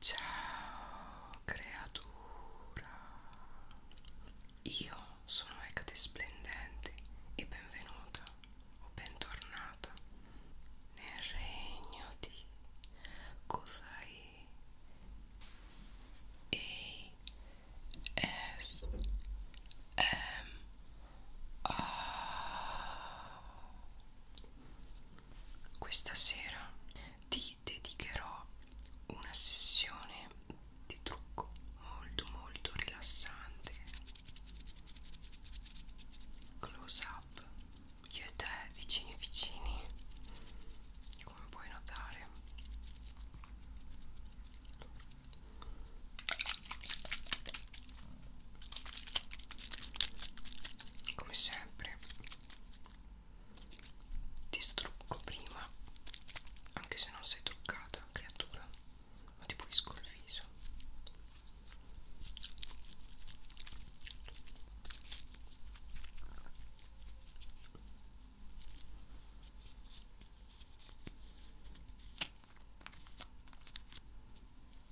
Ciao creatura, io sono Ecate Splendente e benvenuta o bentornata nel regno di Kusai E S M O. Questa sera ti dedicherò una sessione di trucco molto molto rilassante. Close up, io e te vicini vicini, come puoi notare. Come sempre fare ti strucco prima anche se non sei truccata creatura ma ti pulisco il viso tu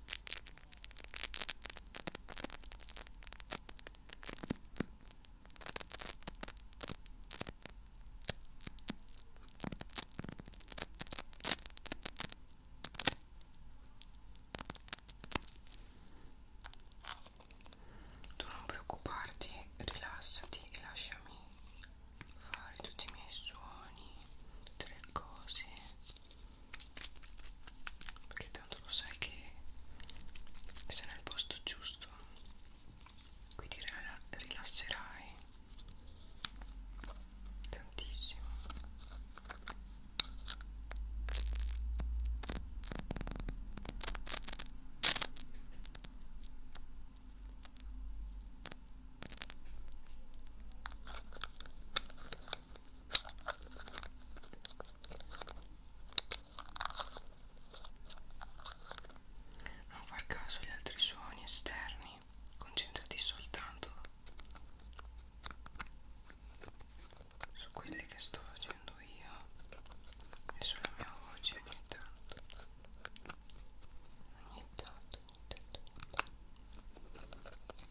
non preoccuparti, rilassati e lasciami fare tutti i miei suoni, tutte le cose perché tanto lo sai che sei nel posto giusto quindi rilasserai tantissimo non far caso agli altri suoni esterni, concentrati soltanto su quelli che sto facendo io e sulla mia voce ogni tanto. Ogni tanto, ogni tanto, ogni tanto.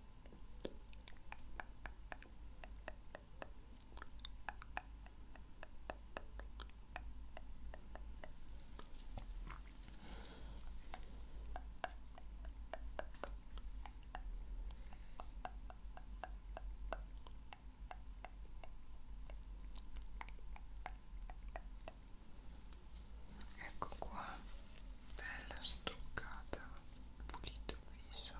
Ecco qua bella struccata pulito il viso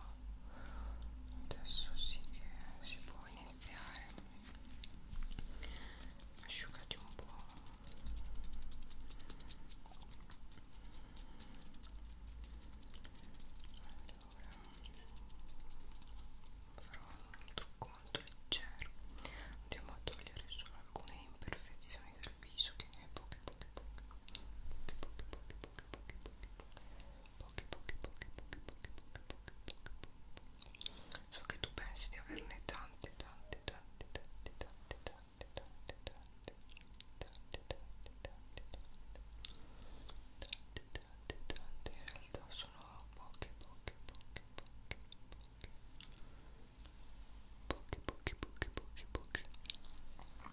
adesso sì che si può iniziare asciugati un po' allora farò un trucco molto leggero andiamo a togliere solo alcune imperfezioni della sul viso che ne hai poche poche poche poche poche poche poche poche poche poche poche poche poche poche poche poche so che tu pensi di averne tante tante tante tante tante tante tante tante tante tante tante tante tante tante in realtà sono poche poche poche poche poche poche poche poche poche poche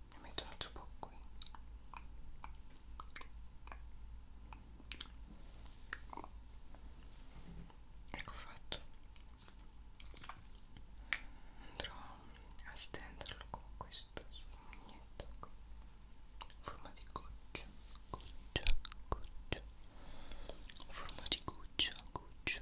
ne metto un altro po' qui ecco fatto andrò a stenderlo con questo spugnetto qui in forma di goccia goccia goccia in forma di goccia goccia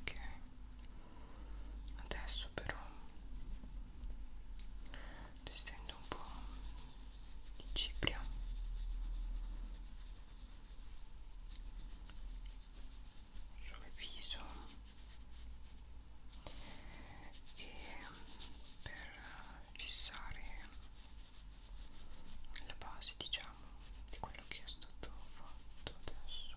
ok adesso però distendo un po' di cipria sul viso e per fissare la base diciamo di quello che è stato fatto adesso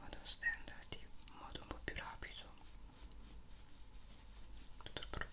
vado a stenderti in modo un po' più rapido tutto il prodotto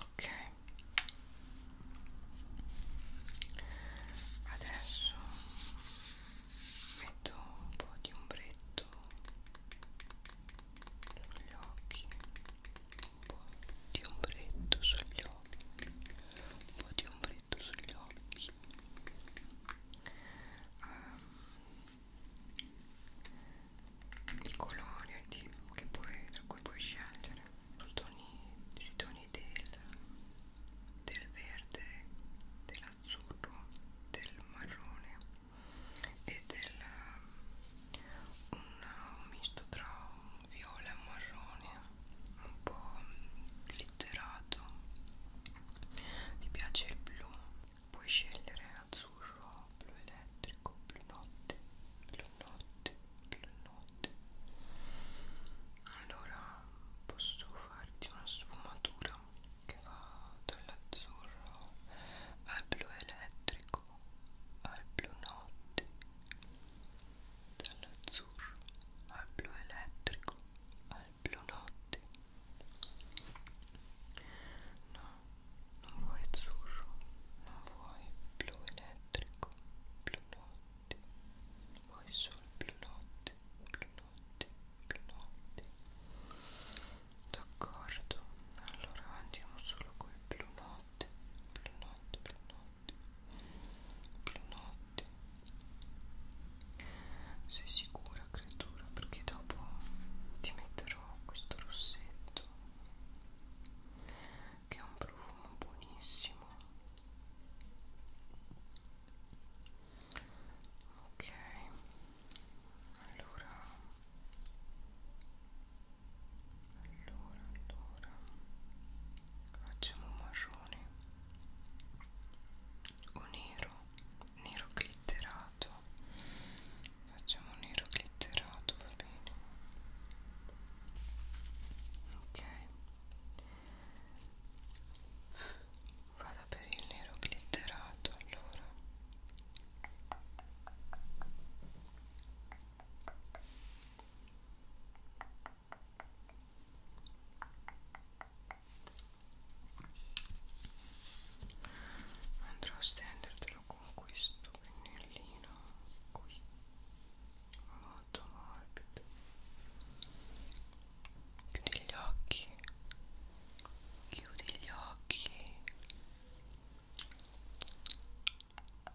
ok adesso metto un po' di ombretto sugli occhi un po' di ombretto sugli occhi un po' di ombretto vento sugli occhi um, ehm, i colori di, che puoi, tra cui puoi scegliere i toni, i toni del, del verde dell'azzurro del marrone e del um, un, un misto tra un viola e un marrone un po' glitterato ti piace il blu puoi scegliere azzurro blu elettrico blu notte blu notte blu notte allora posso farti una sfumatura che va dall'azzurro al blu elettrico al blu notte dall'azzurro al blu elettrico al blu notte no, non vuoi azzurro non vuoi blu elettrico blu notte vuoi solo blu notte blu notte blu notte d'accordo allora andiamo solo col blu notte blu notte blu notte Blu notte Sei sicura creatura perché dopo ti metterò questo rossetto che ha un profumo buonissimo ok allora allora allora facciamo un marrone o nero nero glitterato facciamo un nero glitterato va bene ok vado per il nero glitterato allora andrò a stendertelo con questo pennellino qui molto morbido chiudi gli occhi chiudi gli occhi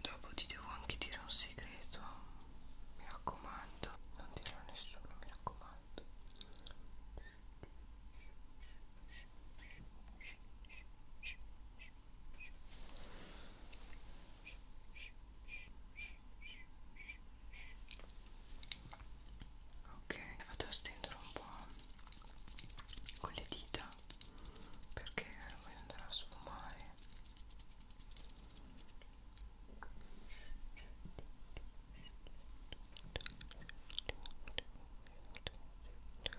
Dopo ti devo anche dire un segreto, mi raccomando, non dirlo a nessuno, mi raccomando ok vado a stendere un po' con le dita perché non voglio andare a sfumare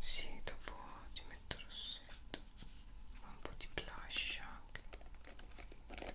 Sì, dopo ti metto il rossetto, ma un po' di blush anche. Ok.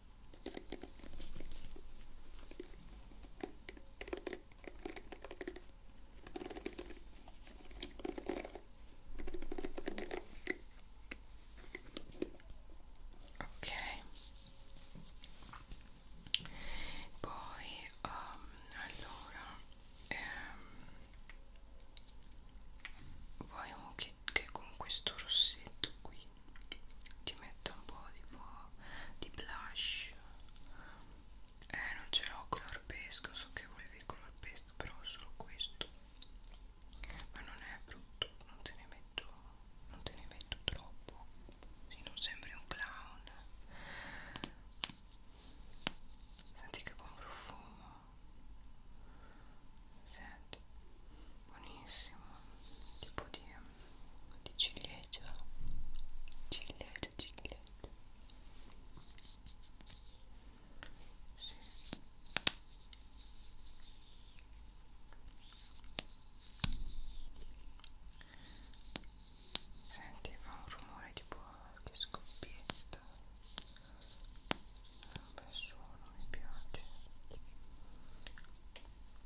Ok, poi um, allora ehm, vuoi che, che con questo rossetto qui ti metto un po' tipo di blush eh non ce l'ho color pesco so che volevi color pesco però ho solo questo ma non è brutto non te ne metto non te ne metto troppo si sì, non sembri un clown senti che buon profumo senti buonissimo tipo di di ciliegia ciliegia ciliegia sì. senti fa un rumore tipo che scoppietta un bel suono mi piace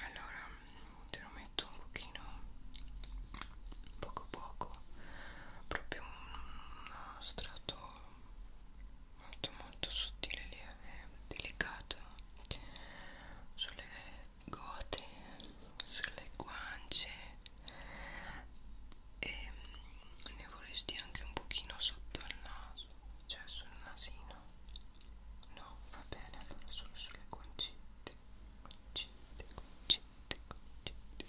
allora te lo metto un pochino poco poco proprio uno strato molto molto sottile e delicato sulle gote, sulle guance e ne vorresti anche un pochino sotto il naso, cioè sul nasino. No, va bene, allora solo sulle guancette, guancette, guancette, guancette.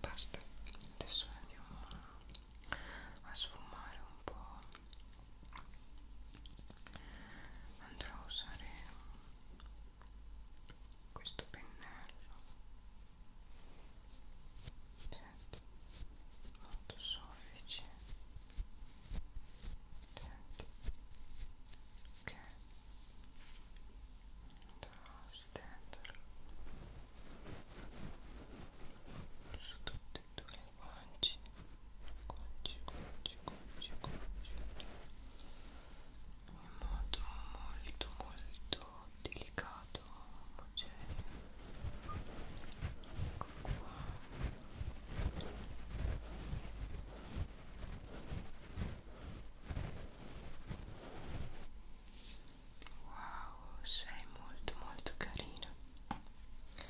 Basta, adesso andiamo a sfumare un po' andrò a usare questo pennello senti, molto soffice senti ok andrò a stenderlo su tutte e due le guanci, guanci, guanci, guanci, guanci in modo molto molto delicato, omogeneo cioè, ecco qua wow sei molto molto carina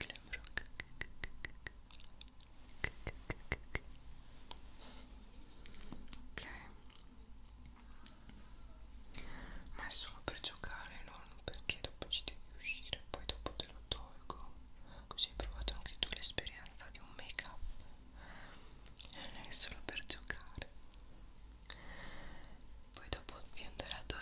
Glamrock ok ma è solo per giocare non perché dopo ci devi uscire poi dopo te lo tolgo così hai provato anche tu l'esperienza di un make up non è solo per giocare poi dopo vi andrà a dormire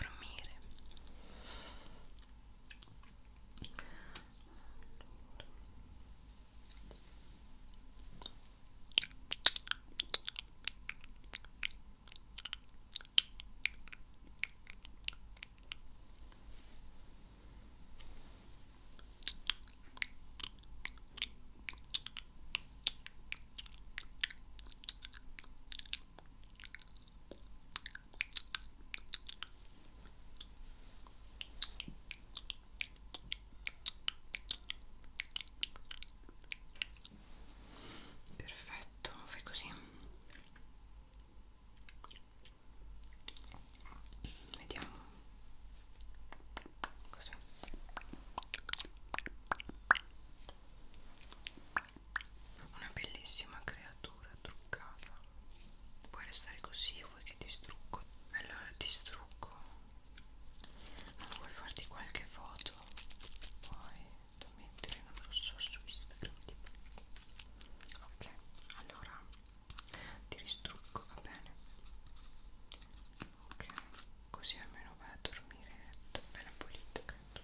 Perfetto, fai così. Vediamo. Così una bellissima creatura truccata puoi restare così vuoi che ti distruggo allora ti distruggo non vuoi farti qualche foto puoi da mettere il numero so su Instagram tipo ok allora ti distruggo va bene ok così almeno vai a dormire bella pulita credo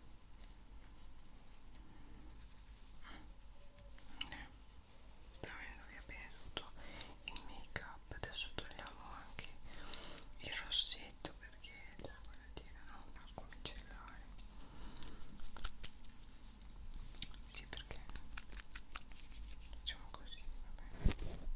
Avendo via bene tutto il make up, adesso togliamo anche il rossetto perché cioè, voglio dire no, l'acqua micellare sì perché facciamo così va bene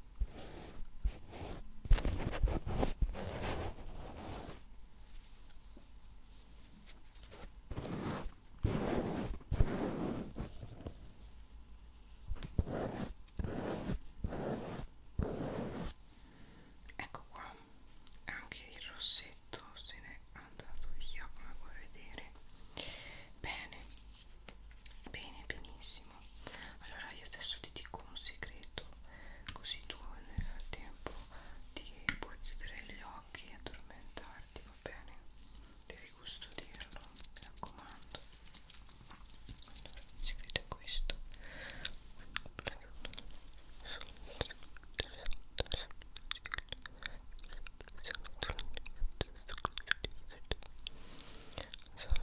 Ecco qua, anche il rossetto se n'è andato via come puoi vedere. Bene, bene, benissimo benissimo allora io adesso ti dico un segreto così tu nel frattempo ti puoi chiudere gli occhi e addormentarti va bene devi custodirlo mi raccomando allora il segreto è questo sono